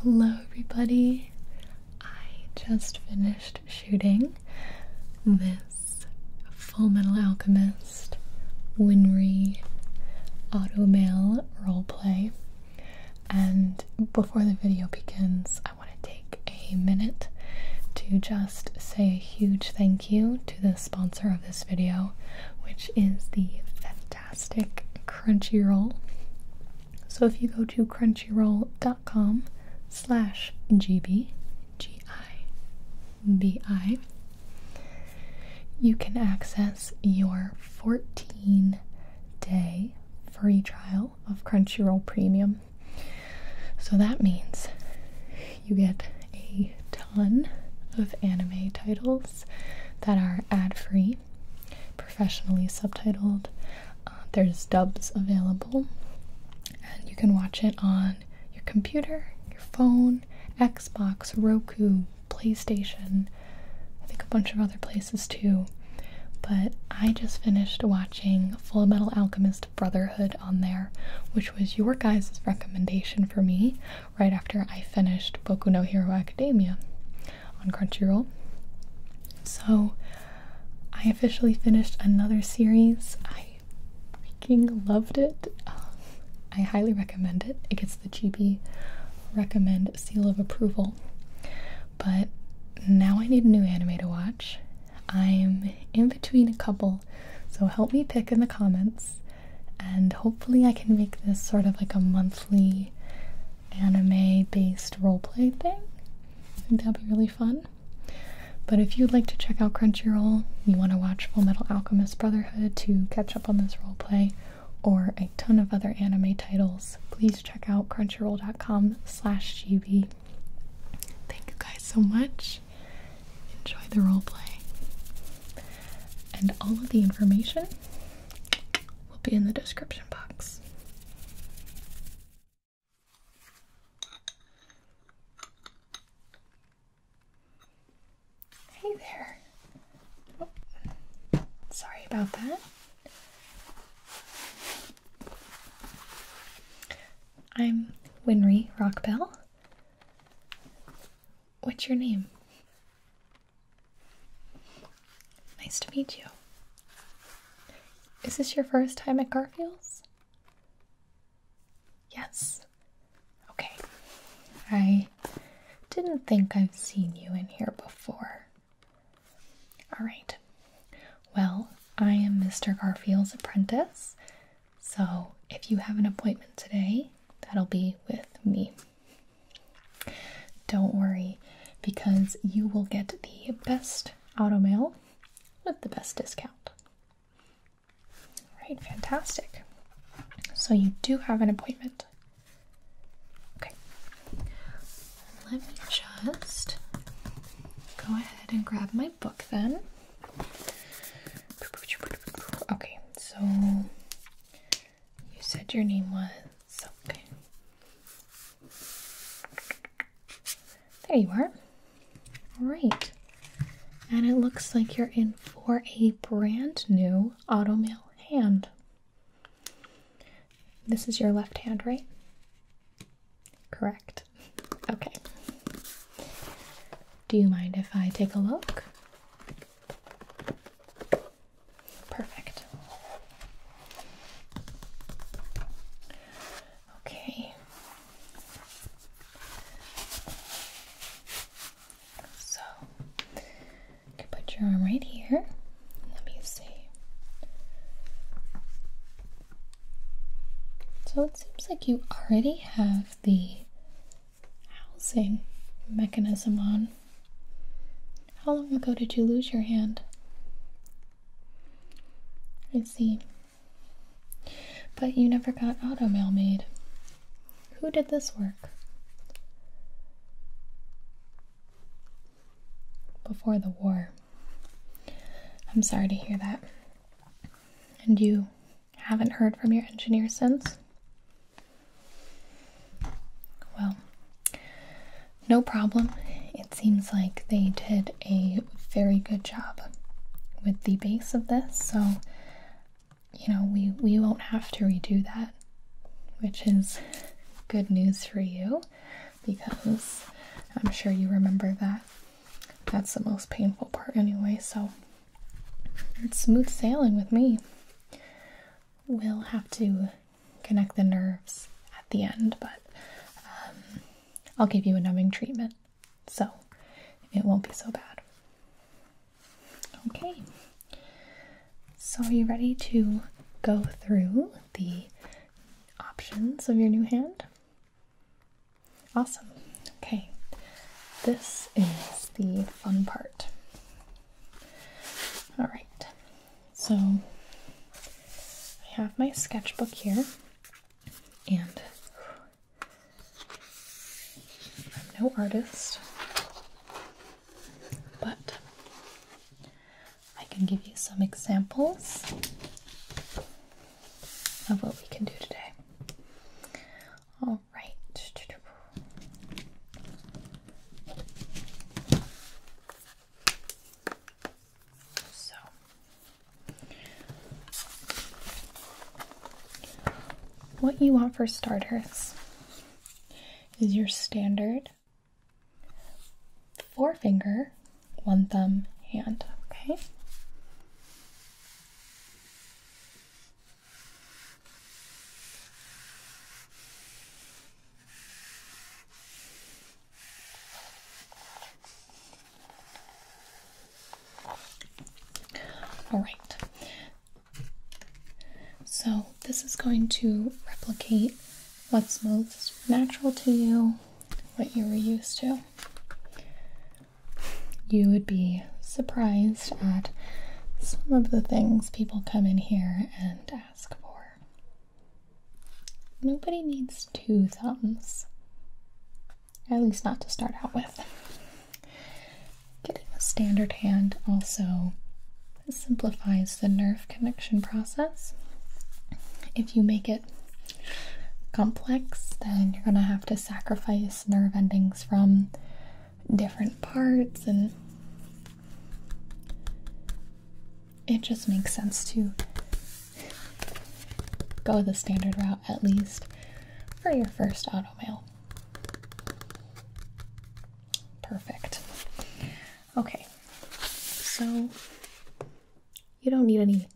Hello, everybody. I just finished shooting this Full Metal Alchemist Winry Automail roleplay. And before the video begins, I want to take a minute to just say a huge thank you to the sponsor of this video, which is the fantastic Crunchyroll. So if you go to crunchyroll.com slash GB, you can access your 14-day free trial of Crunchyroll Premium. So that means you get a ton of anime titles that are ad free, professionally subtitled. Uh, there's dubs available, and you can watch it on your computer, your phone, Xbox, Roku, PlayStation, I think a bunch of other places too. But I just finished watching Full Metal Alchemist Brotherhood on there, which was your guys' recommendation for me right after I finished Boku no Hero Academia on Crunchyroll. So I officially finished another series. I freaking loved it. Um, I highly recommend it. It gets the GB recommend seal of approval. But now I need a new anime to watch. I'm in between a couple, so help me pick in the comments and hopefully I can make this sort of like a monthly anime based roleplay thing. I think that'd be really fun. But if you'd like to check out Crunchyroll, you want to watch Full Metal Alchemist Brotherhood to catch up on this roleplay or a ton of other anime titles, please check out crunchyroll.com slash gb. Thank you guys so much. Enjoy the roleplay. And all of the information will be in the description box. Hey there. Oh, sorry about that. I'm Winry Rockbell. What's your name? Nice to meet you. Is this your first time at Garfield's? Yes. Okay. I didn't think I've seen you in here before. All right. Well, I am Mr. Garfield's apprentice, so if you have an appointment today, that'll be with me. Don't worry, because you will get the best auto mail with the best discount. Right? fantastic. So you do have an appointment. Okay. Let me just go ahead and grab my book then. Okay, so you said your name was. Okay. There you are. All right. And it looks like you're in for a brand new auto mail hand. This is your left hand, right? Correct. Okay. Do you mind if I take a look? Perfect. Okay. So put your arm right here. Let me see. So it seems like you already have the housing mechanism on. How long ago did you lose your hand? I see. But you never got auto mail made. Who did this work? Before the war. I'm sorry to hear that. And you haven't heard from your engineer since? Well, no problem. It seems like they did a very good job with the base of this, so you know, we, we won't have to redo that, which is good news for you because I'm sure you remember that. That's the most painful part anyway, so it's smooth sailing with me we will have to connect the nerves at the end, but um, I'll give you a numbing treatment so it won't be so bad. Okay, so are you ready to go through the options of your new hand? Awesome. Okay, this is the fun part. All right, so I have my sketchbook here, and I'm no artist, but I can give you some examples of what we can do today. All right. So what you want for starters is your standard forefinger, one thumb hand, okay? All right. So this is going to replicate what's most natural to you, what you were used to. You would be surprised surprised at some of the things people come in here and ask for. Nobody needs two thumbs, at least not to start out with. Getting a standard hand also simplifies the nerve connection process. If you make it complex, then you're going to have to sacrifice nerve endings from different parts and it just makes sense to go the standard route at least for your first auto mail. Perfect. Okay, so you don't need any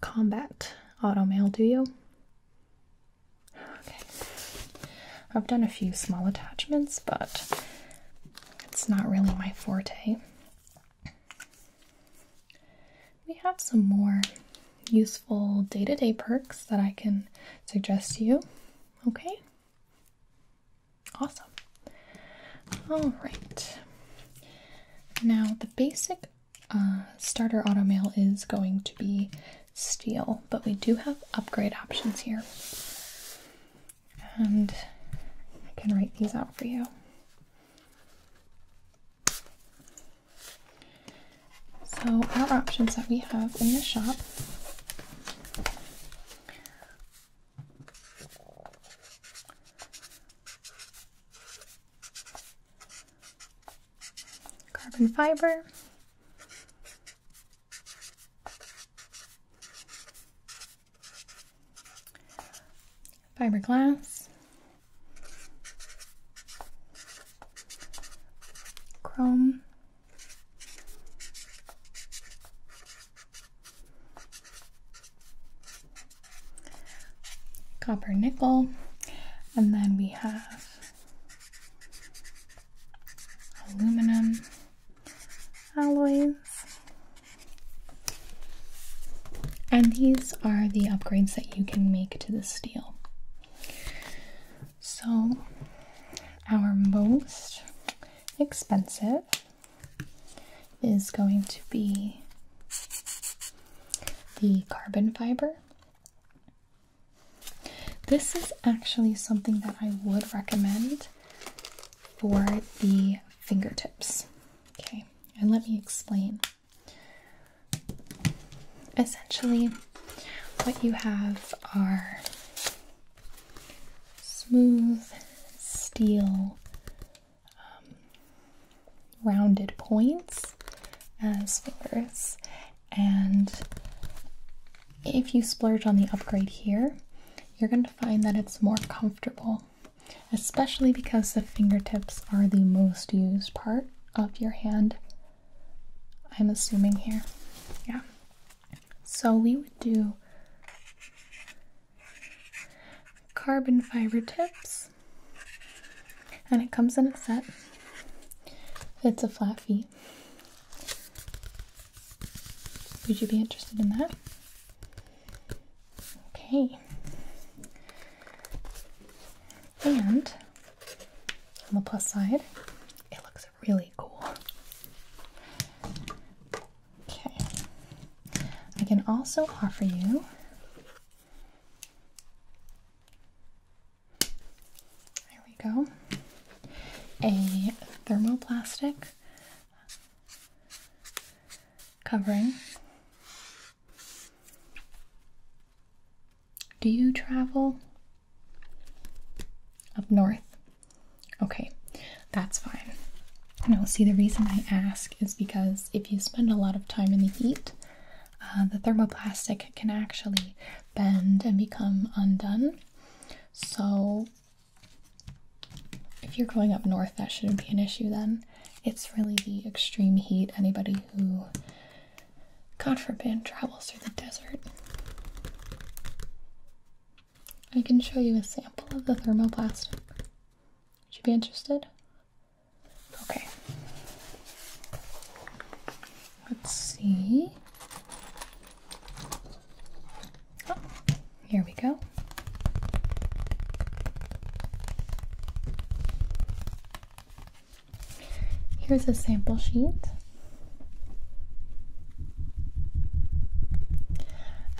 combat auto mail, do you? Okay. I've done a few small attachments, but it's not really my forte. We have some more useful day to day perks that I can suggest to you. Okay? Awesome. All right. Now, the basic uh, starter auto mail is going to be steel, but we do have upgrade options here. And I can write these out for you. So, our options that we have in the shop carbon fiber, fiberglass, chrome, copper nickel, and then we have aluminum alloys. And these are the upgrades that you can make to the steel. So, our most expensive is going to be the carbon fiber. This is actually something that I would recommend for the fingertips. Okay, and let me explain. Essentially, what you have are smooth steel um, rounded points as fingers. And if you splurge on the upgrade here, you're going to find that it's more comfortable, especially because the fingertips are the most used part of your hand. I'm assuming here. Yeah. So we would do carbon fiber tips, and it comes in a set. It's a flat fee. Would you be interested in that? Okay. And on the plus side, it looks really cool. Okay. I can also offer you there we go. A thermoplastic covering. Do you travel up north? Okay, that's fine. Now, see, the reason I ask is because if you spend a lot of time in the heat, uh, the thermoplastic can actually bend and become undone. So if you're going up north, that shouldn't be an issue then. It's really the extreme heat. Anybody who, God forbid, travels through the desert. I can show you a sample of the thermoplastic. Would you be interested? Okay. Let's see. Oh, here we go. Here's a sample sheet.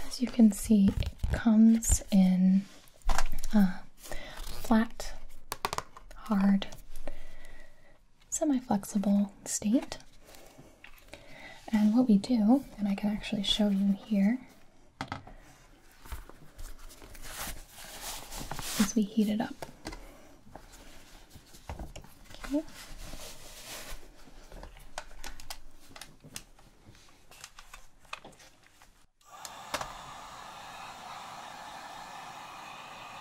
As you can see, it comes in uh, flat, hard semi-flexible state. And what we do, and I can actually show you here, as we heat it up.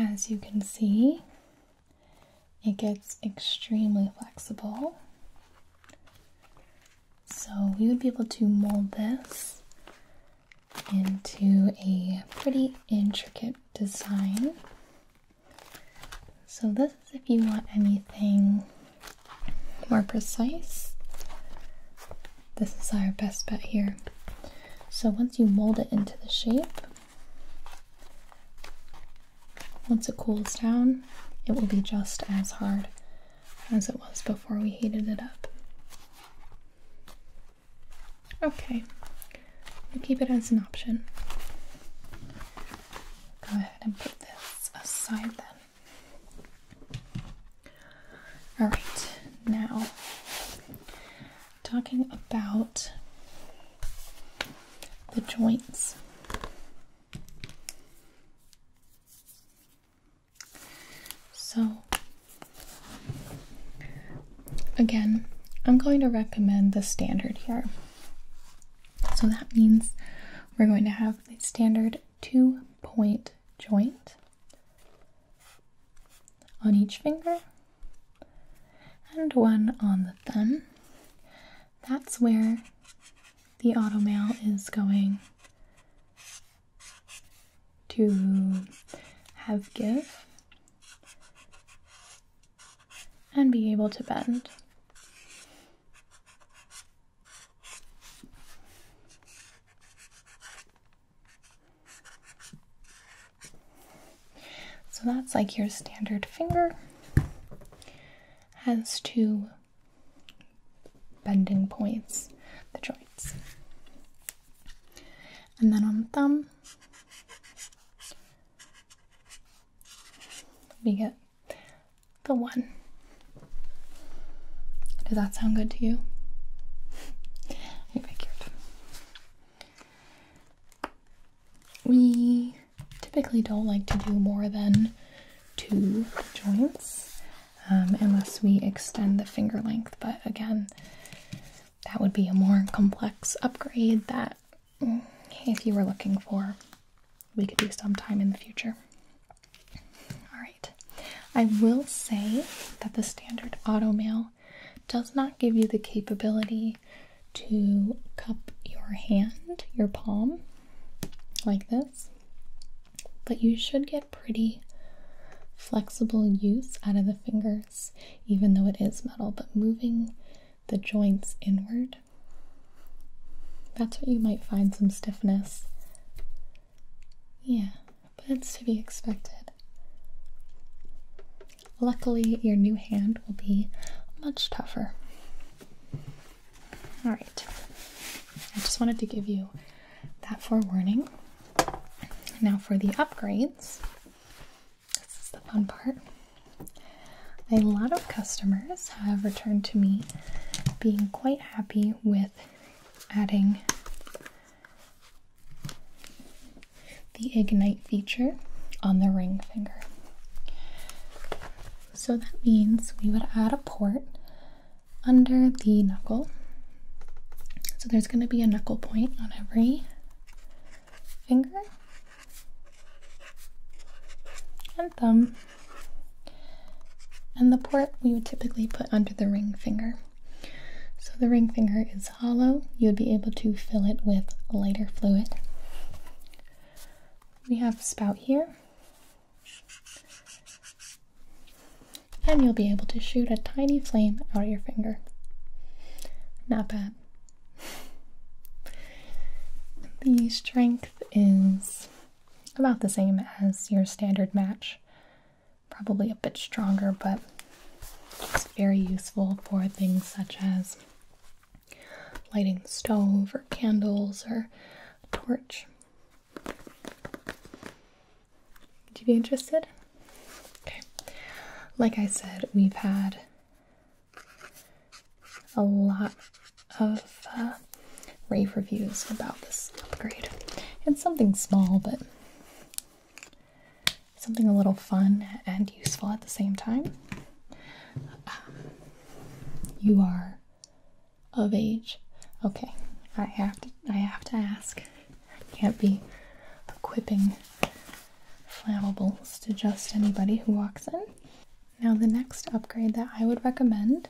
As you can see, it gets extremely flexible. So we would be able to mold this into a pretty intricate design. So this is if you want anything more precise. This is our best bet here. So once you mold it into the shape, once it cools down, it will be just as hard as it was before we heated it up. Okay, we'll keep it as an option. Go ahead and put this aside then. Alright, now talking about the joints. So, again, I'm going to recommend the standard here. So that means we're going to have the standard two point joint on each finger and one on the thumb. That's where the auto automail is going to have give and be able to bend. So that's like your standard finger has to bending points, the joints. And then on the thumb, we get the one. Does that sound good to you? We typically don't like to do more than two joints. Um, unless we extend the finger length. But again, that would be a more complex upgrade that, mm, if you were looking for, we could do sometime in the future. All right. I will say that the standard auto mail does not give you the capability to cup your hand, your palm, like this. But you should get pretty flexible use out of the fingers, even though it is metal. But moving the joints inward, that's what you might find some stiffness. Yeah, but it's to be expected. Luckily, your new hand will be much tougher. All right, I just wanted to give you that forewarning. Now for the upgrades. This is the fun part. A lot of customers have returned to me being quite happy with adding the ignite feature on the ring finger. So that means we would add a port under the knuckle. So there's going to be a knuckle point on every finger and thumb. And the port we would typically put under the ring finger. So the ring finger is hollow. You would be able to fill it with lighter fluid. We have spout here and you'll be able to shoot a tiny flame out of your finger. Not bad. The strength is about the same as your standard match, probably a bit stronger, but it's very useful for things such as lighting stove or candles or torch. Would you be interested? Okay. Like I said, we've had a lot of uh, rave reviews about this upgrade. It's something small, but something a little fun and useful at the same time. you are of age. Okay, I have to. I have to ask. I can't be equipping flammables to just anybody who walks in. Now, the next upgrade that I would recommend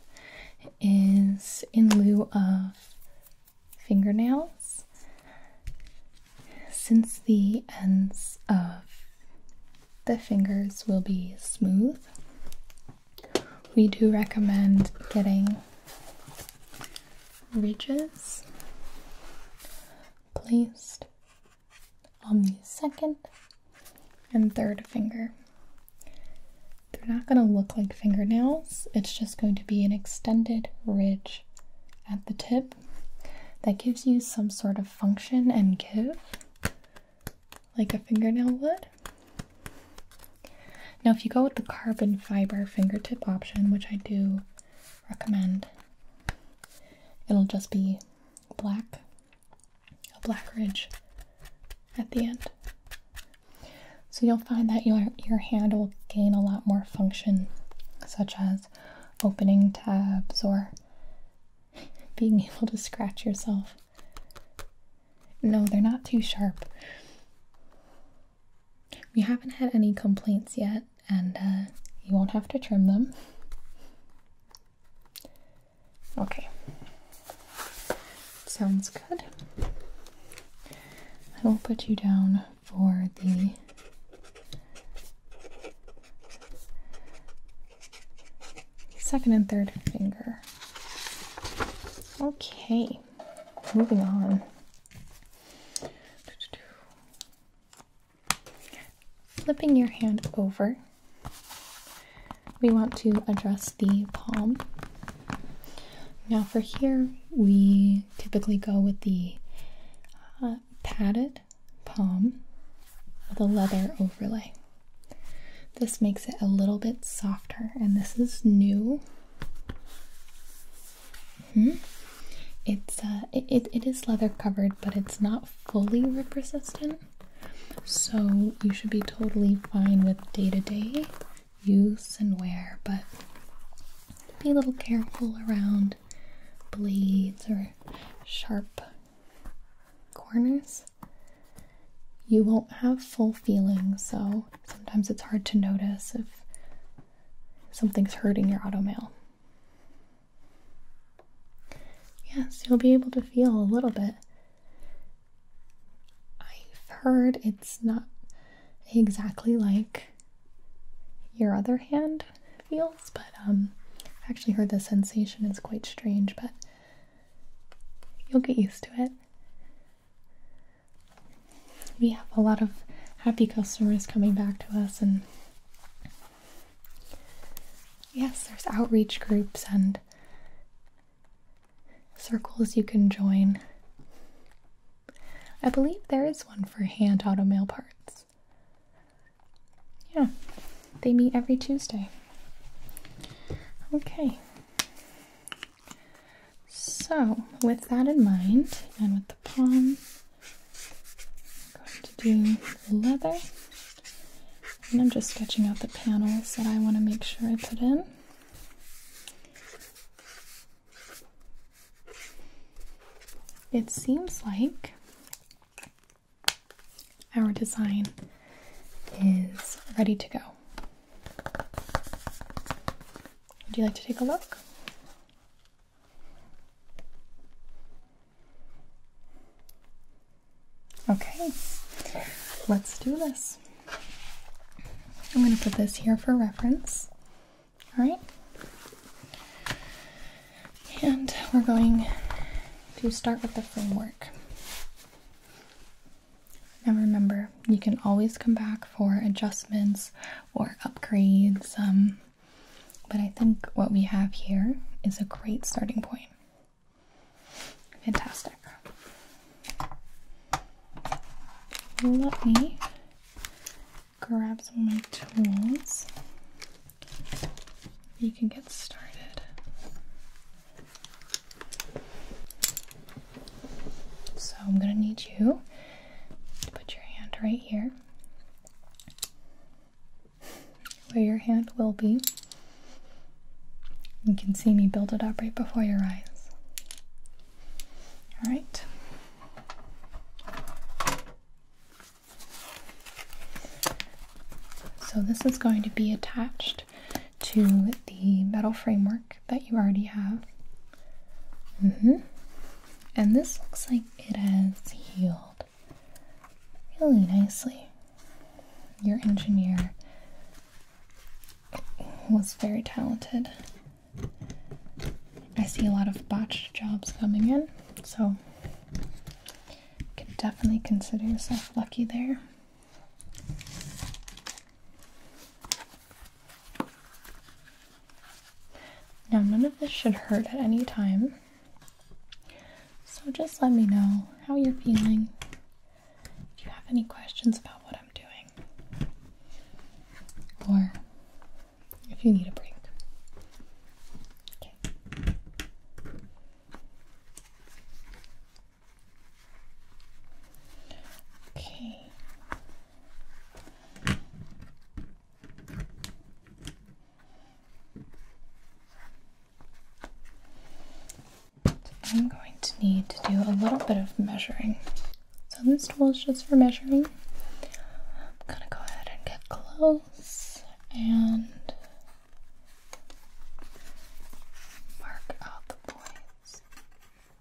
is in lieu of fingernails. Since the ends of the fingers will be smooth, we do recommend getting ridges placed on the second and third finger. They're not going to look like fingernails, it's just going to be an extended ridge at the tip that gives you some sort of function and give like a fingernail would. Now, if you go with the carbon fiber fingertip option, which I do recommend, it'll just be black, a black ridge at the end. So you'll find that your, your hand will gain a lot more function, such as opening tabs or being able to scratch yourself. No, they're not too sharp. We haven't had any complaints yet, and uh, you won't have to trim them. Okay. Sounds good. I will put you down for the second and third finger. Okay moving on. Flipping your hand over, we want to address the palm. Now, for here, we typically go with the uh, padded palm with a leather overlay. This makes it a little bit softer, and this is new. -hmm. It's uh, it, it is leather covered, but it's not fully rip resistant, so you should be totally fine with day to day use and wear. But be a little careful around blades or sharp corners. You won't have full feeling, so sometimes it's hard to notice if something's hurting your automail. Yes, you'll be able to feel a little bit. I've heard it's not exactly like your other hand feels, but um, i actually heard the sensation is quite strange, but you'll get used to it we have a lot of happy customers coming back to us and yes there's outreach groups and circles you can join i believe there is one for hand auto mail parts yeah they meet every tuesday okay so, with that in mind, and with the palm, I'm going to do the leather. And I'm just sketching out the panels that I want to make sure I put in. It seems like our design is ready to go. Would you like to take a look? Okay, let's do this. I'm going to put this here for reference. All right. And we're going to start with the framework. Now remember, you can always come back for adjustments or upgrades, um, but I think what we have here is a great starting point. Fantastic. Let me grab some of my tools. You can get started. So I'm gonna need you to put your hand right here where your hand will be. You can see me build it up right before your eyes. All right. So this is going to be attached to the metal framework that you already have. Mm-hmm. And this looks like it has healed really nicely. Your engineer was very talented. I see a lot of botched jobs coming in, so you can definitely consider yourself lucky there. Now, none of this should hurt at any time. So just let me know how you're feeling. If you have any questions about what I'm doing, or if you need a break. Okay. I'm going to need to do a little bit of measuring. So this tool is just for measuring. I'm gonna go ahead and get close and mark out the points.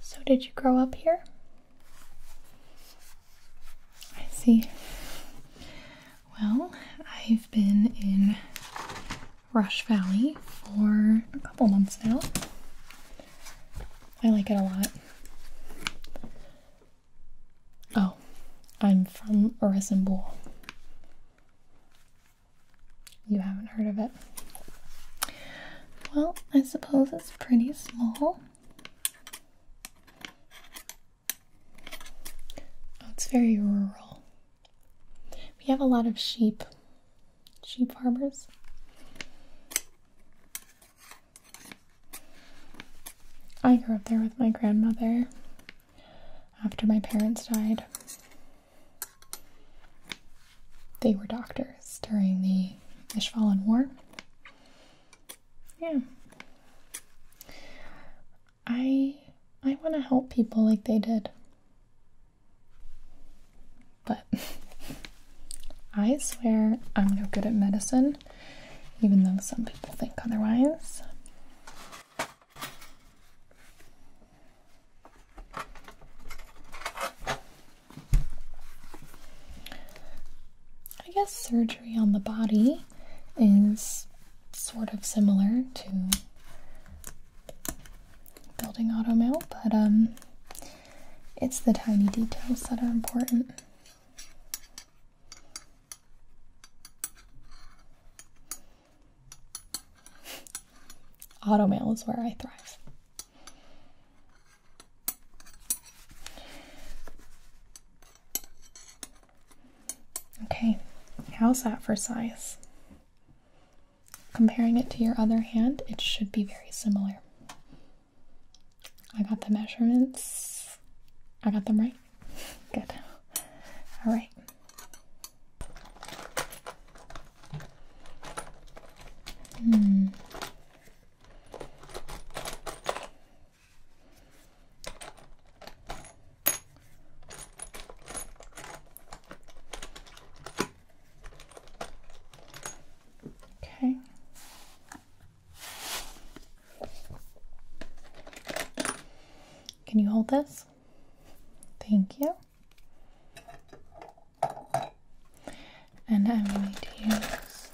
So, did you grow up here? I see. Well, I've been in Rush Valley for a couple months now. I like it a lot. Oh, I'm from Orison you haven't heard of it. Well, I suppose it's pretty small. Oh, it's very rural. We have a lot of sheep, sheep harbors. I grew up there with my grandmother after my parents died. They were doctors during the Ishvalan War. Yeah. I I want to help people like they did. But I swear I'm no good at medicine, even though some people think otherwise. I guess surgery on the body is sort of similar to building automail, but um, it's the tiny details that are important. Auto mail is where I thrive. Okay, how's that for size? Comparing it to your other hand, it should be very similar. I got the measurements, I got them right. Good. All right. Hmm. Okay. Can you hold this? Thank you. And I'm going to use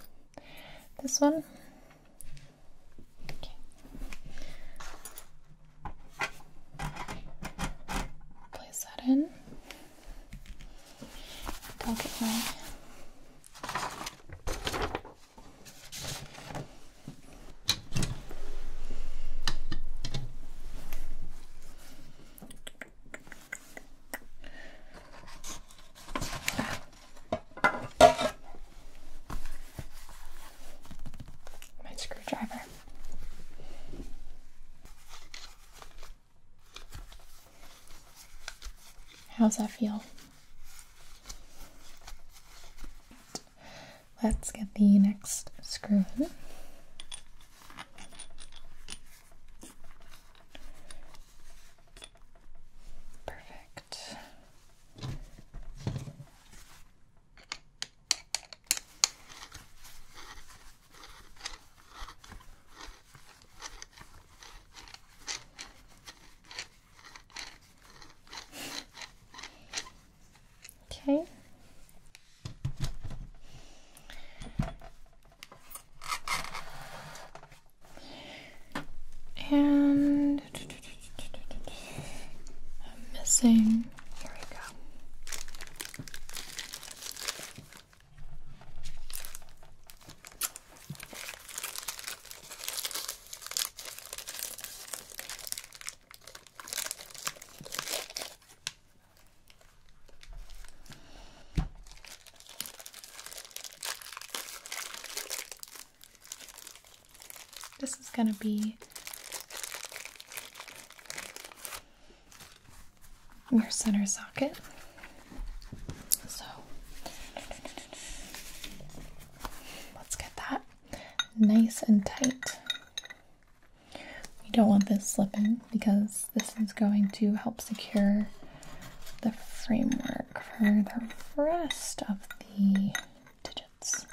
this one. Place that in. My screwdriver. How's that feel? Let's get the next screw Perfect. Okay. And I'm missing. Here we go. This is going to be your center socket. So let's get that nice and tight. We don't want this slipping because this is going to help secure the framework for the rest of the digits.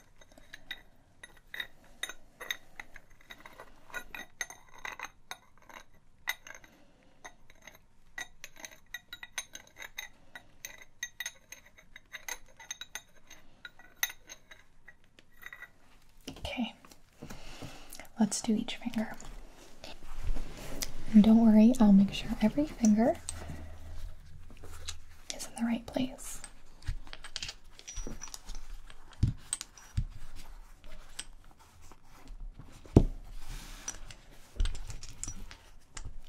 Okay, let's do each finger. And don't worry, I'll make sure every finger is in the right place.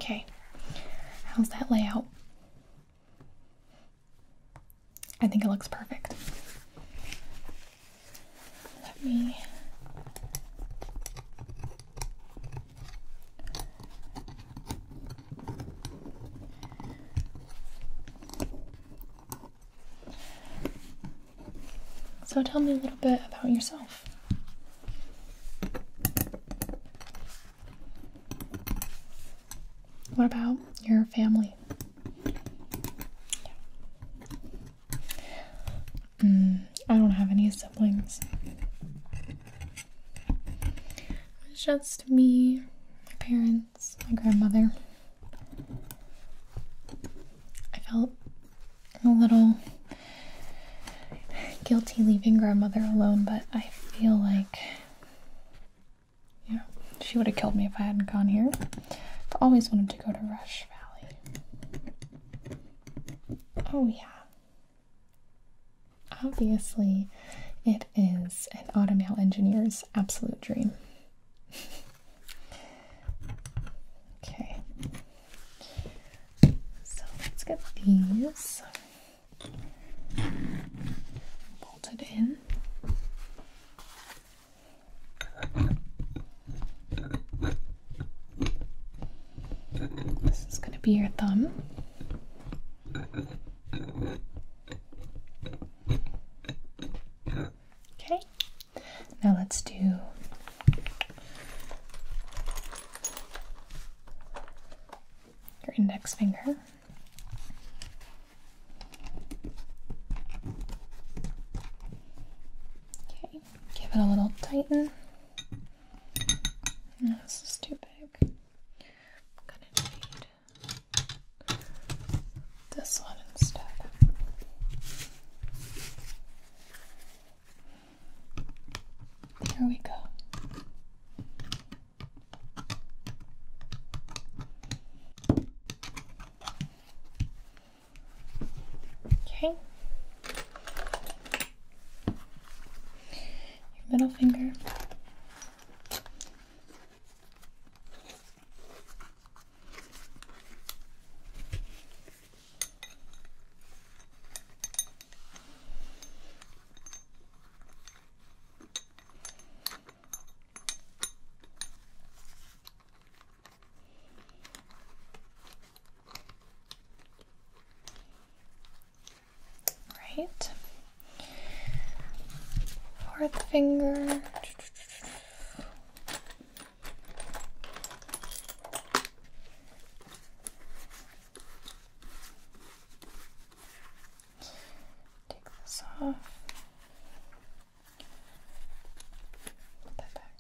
Okay, how's that layout? I think it looks perfect. Let me So tell me a little bit about yourself. What about your family? Mm, I don't have any siblings. It's just me, my parents, my grandmother. I felt a little guilty leaving grandmother alone, but I feel like yeah, she would have killed me if I hadn't gone here. I've always wanted to go to Rush Valley. Oh, yeah. Obviously, it is an automail engineer's absolute dream. okay. So let's get these bolt it in. This is going to be your thumb. Okay, now let's do your index finger. Okay, give it a little tighten. this is too big. gonna need this one instead. There we go. Okay. middle finger. Right. Fourth finger. Take this off. Put that back.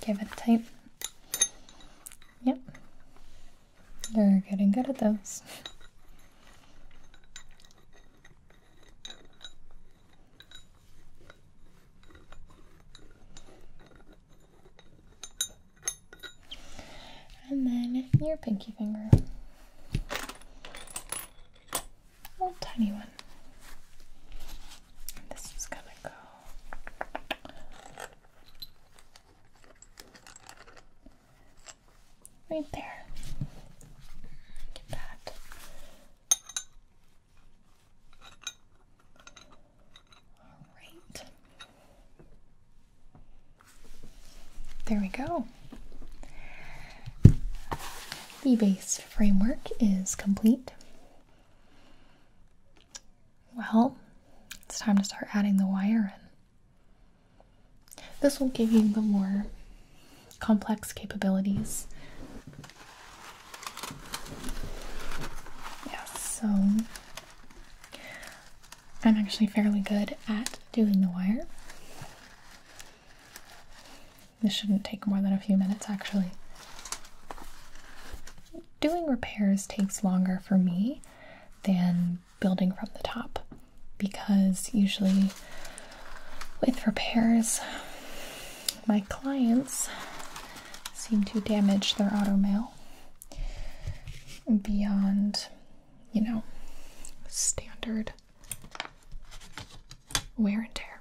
Give it a tight. Yep. they are getting good at those. And then your pinky finger. A little tiny one. this is gonna go right there. Get that all right. There we go. The base framework is complete. Well, it's time to start adding the wire in. This will give you the more complex capabilities. Yeah, so I'm actually fairly good at doing the wire. This shouldn't take more than a few minutes actually. Doing repairs takes longer for me than building from the top because usually with repairs. My clients seem to damage their auto mail beyond, you know, standard wear and tear.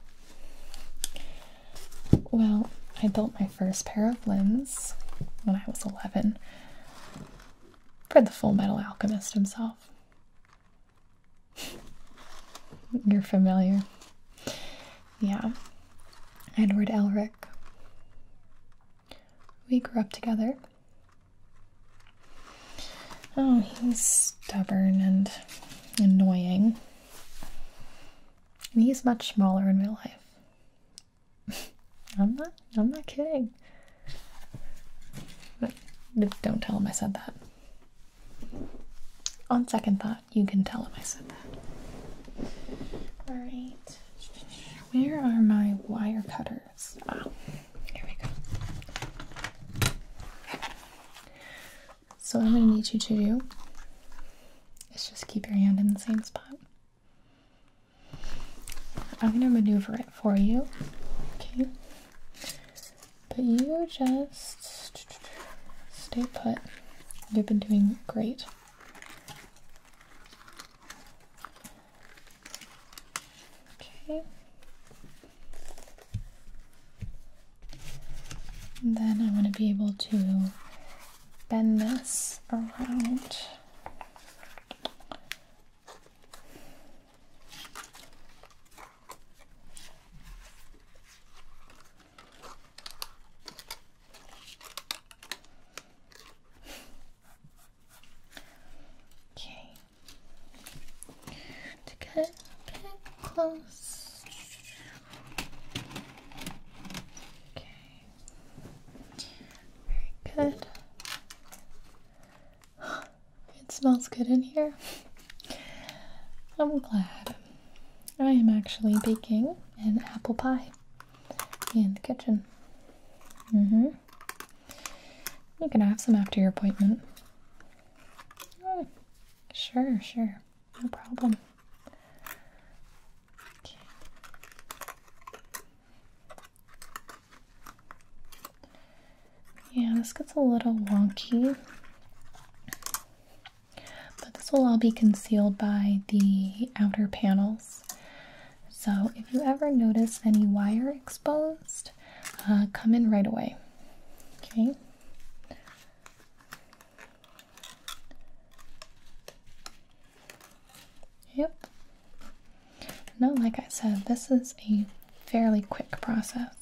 Well, I built my first pair of limbs when I was 11 for the Full Metal Alchemist himself. You're familiar. Yeah. Edward Elric. We grew up together. Oh, he's stubborn and annoying. And he's much smaller in real life. I'm not I'm not kidding. But don't tell him I said that. On second thought, you can tell him I said that. Alright. Where are my wire cutters? Ah, here we go. So, I'm going to need you to do is just keep your hand in the same spot. I'm going to maneuver it for you. Okay. But you just stay put. You've been doing great. Okay. then I want to be able to bend this around. Okay. To get a bit close. Okay. Very good. It smells good in here. I'm glad. I am actually baking an apple pie in the kitchen. Mm-hmm. You can have some after your appointment. Mm, sure, sure. No problem. Yeah, this gets a little wonky. But this will all be concealed by the outer panels. So if you ever notice any wire exposed, uh, come in right away. Okay. Yep. No, like I said, this is a fairly quick process.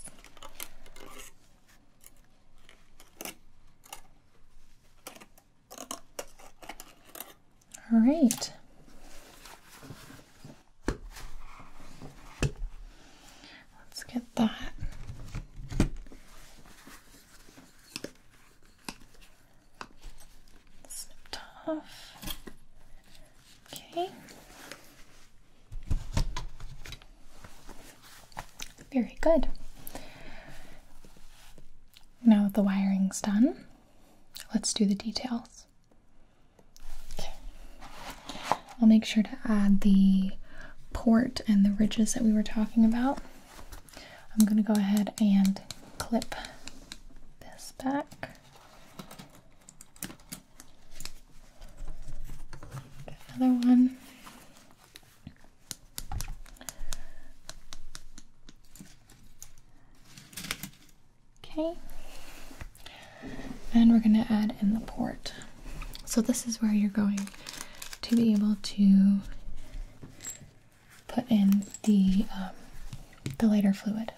All right. Let's get that. Snipped Okay. Very good. Now that the wiring's done, let's do the details. I'll make sure to add the port and the ridges that we were talking about. I'm going to go ahead and clip this back. Another one. Okay, and we're going to add in the port. So, this is where you're going to be able to put in the, um, the lighter fluid.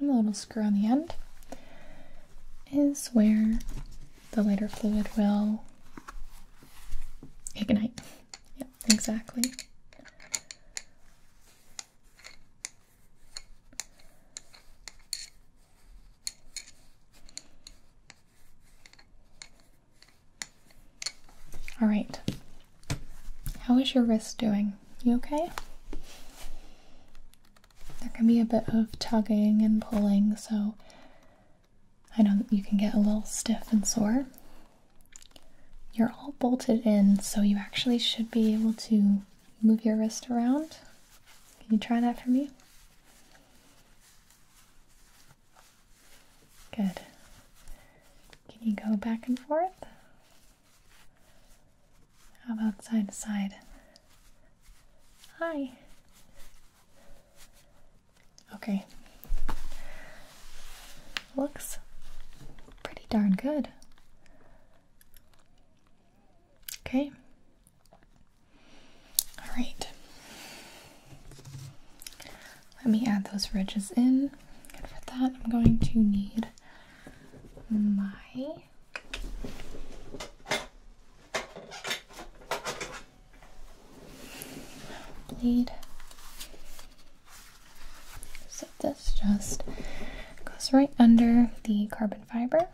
And the little screw on the end is where the lighter fluid will ignite. Yeah exactly. All right. How is your wrist doing? You okay? There can be a bit of tugging and pulling, so I know that you can get a little stiff and sore. You're all bolted in, so you actually should be able to move your wrist around. Can you try that for me? Good. Can you go back and forth? How about side to side? Hi. Okay. Looks pretty darn good. Okay. All right. Let me add those ridges in. And for that, I'm going to need my bleed so this just goes right under the carbon fiber.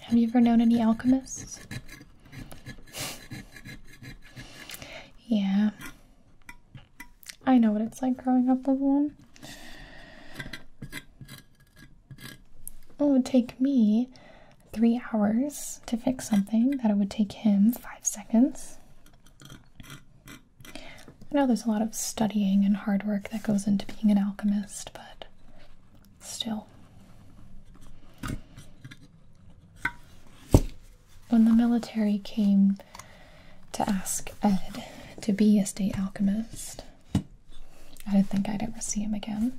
Have you ever known any alchemists? yeah. I know what it's like growing up with one. It would take me three hours to fix something that it would take him five seconds. I know there's a lot of studying and hard work that goes into being an alchemist, but still. When the military came to ask Ed to be a state alchemist, I didn't think I'd ever see him again.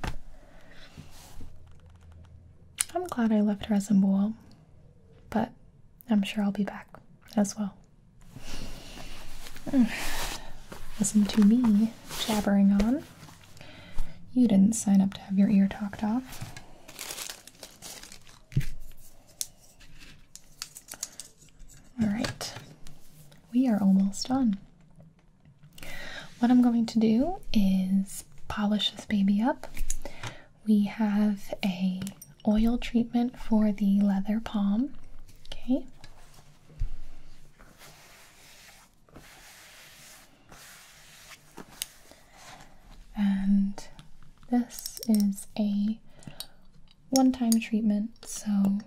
I'm glad I left Resemboul, but I'm sure I'll be back as well. Mm. Listen to me jabbering on. You didn't sign up to have your ear talked off. All right, we are almost done. What I'm going to do is polish this baby up. We have a oil treatment for the leather palm. Okay. And this is a one time treatment, so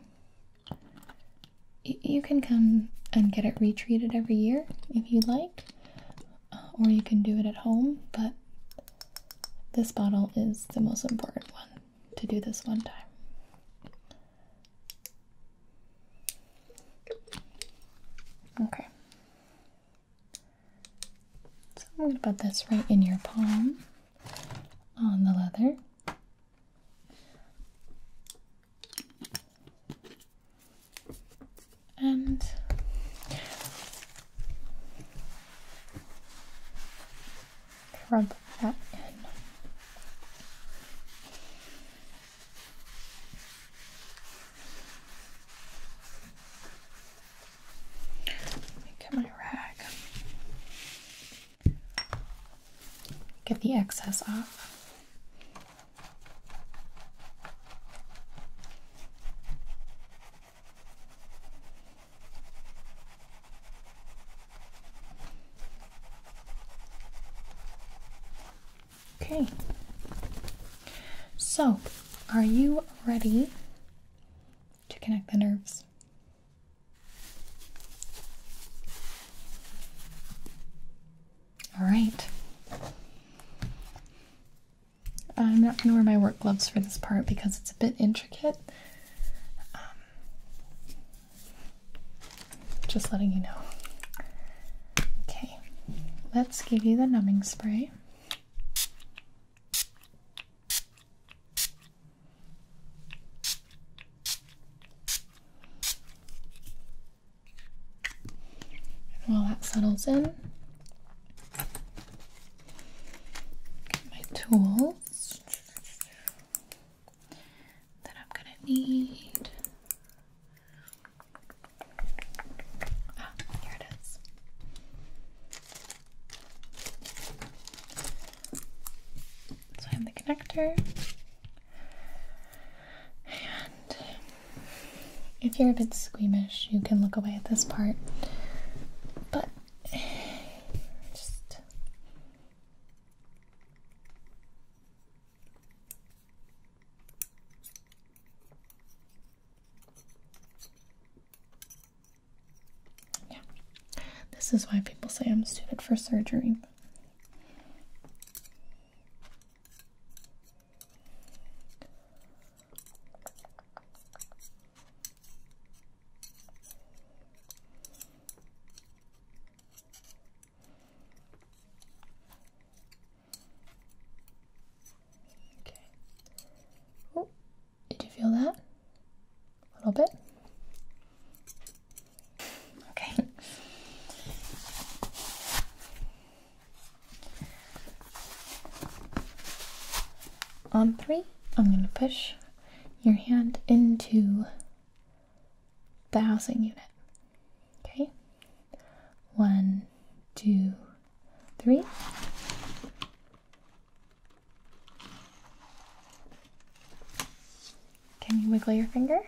you can come and get it retreated every year if you like, uh, or you can do it at home, but this bottle is the most important one to do this one time. Okay. So I'm going to put this right in your palm on the leather. And Rub that in. get my rag. Get the excess off. Okay. So, are you ready to connect the nerves? All right. I'm not going to wear my work gloves for this part because it's a bit intricate um, just letting you know. Okay, let's give you the numbing spray. while that settles in, my tools that I'm gonna need. Ah, here it is. So I'm the connector. And if you're a bit squeamish, you can look away at this part. But just yeah, this is why people say I'm suited for surgery. Okay. Oh, did you feel that? A little bit. Okay. On three, I'm going to push your hand into the housing unit. Okay? One, two, three. Can you wiggle your finger?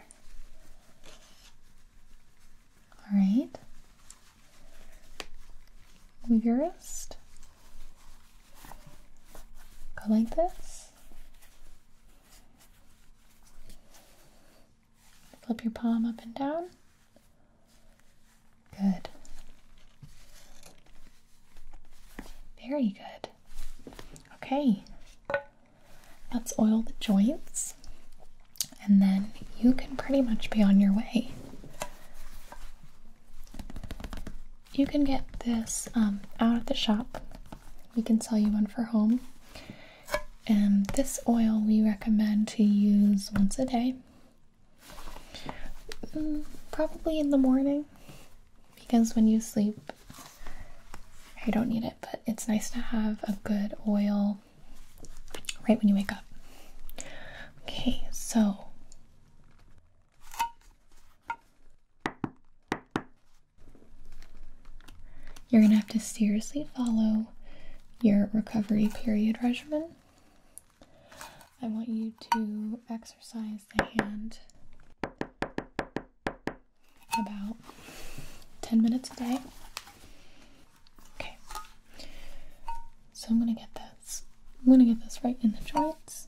All right. Move your wrist. Go like this. Flip your palm up and down. Good. Very good. Okay. Let's oil the joints and then you can pretty much be on your way. You can get this um, out at the shop. We can sell you one for home. And this oil we recommend to use once a day, mm, probably in the morning, because when you sleep, you don't need it, but it's nice to have a good oil right when you wake up. Okay, so you're going to have to seriously follow your recovery period regimen. I want you to exercise the hand about 10 minutes a day. Okay. So I'm going to get this. I'm going to get this right in the joints.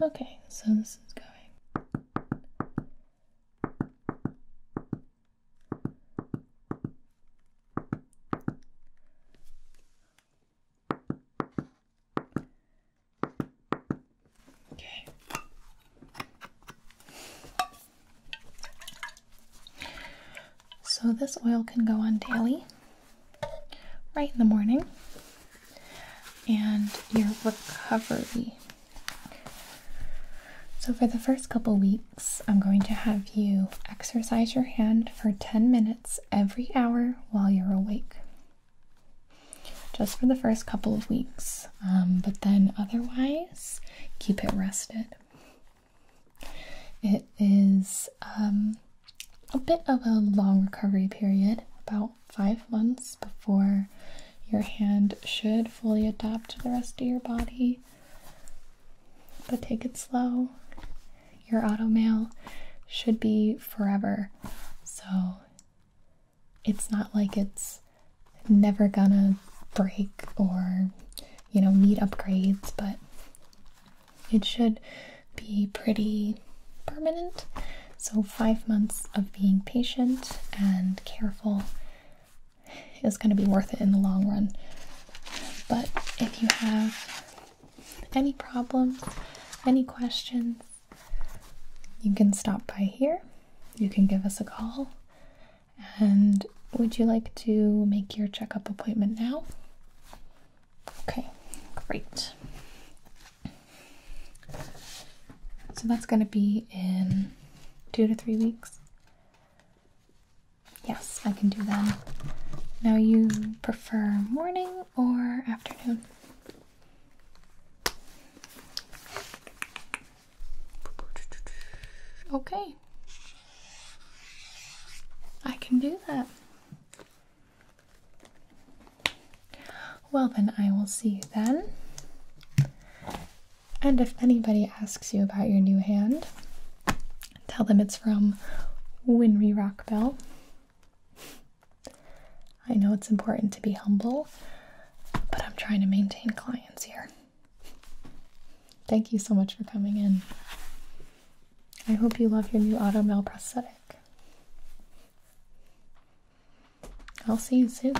Okay, so this is going. Okay. So, this oil can go on daily, right in the morning, and your recovery. So, for the first couple weeks, I'm going to have you exercise your hand for 10 minutes every hour while you're awake. Just for the first couple of weeks, um, but then otherwise, keep it rested. It is um, a bit of a long recovery period, about five months before your hand should fully adapt to the rest of your body. But take it slow. Your auto mail should be forever. So it's not like it's never gonna break or, you know, need upgrades, but it should be pretty permanent. So, five months of being patient and careful is going to be worth it in the long run. But if you have any problems, any questions, you can stop by here. You can give us a call and would you like to make your checkup appointment now? Okay, great. So that's going to be in two to three weeks. Yes, I can do that. Now, you prefer morning or afternoon? Okay, I can do that. Well, then I will see you then. And if anybody asks you about your new hand, tell them it's from Winry Rockbell. I know it's important to be humble, but I'm trying to maintain clients here. Thank you so much for coming in. I hope you love your new auto Automel prosthetic. I'll see you soon.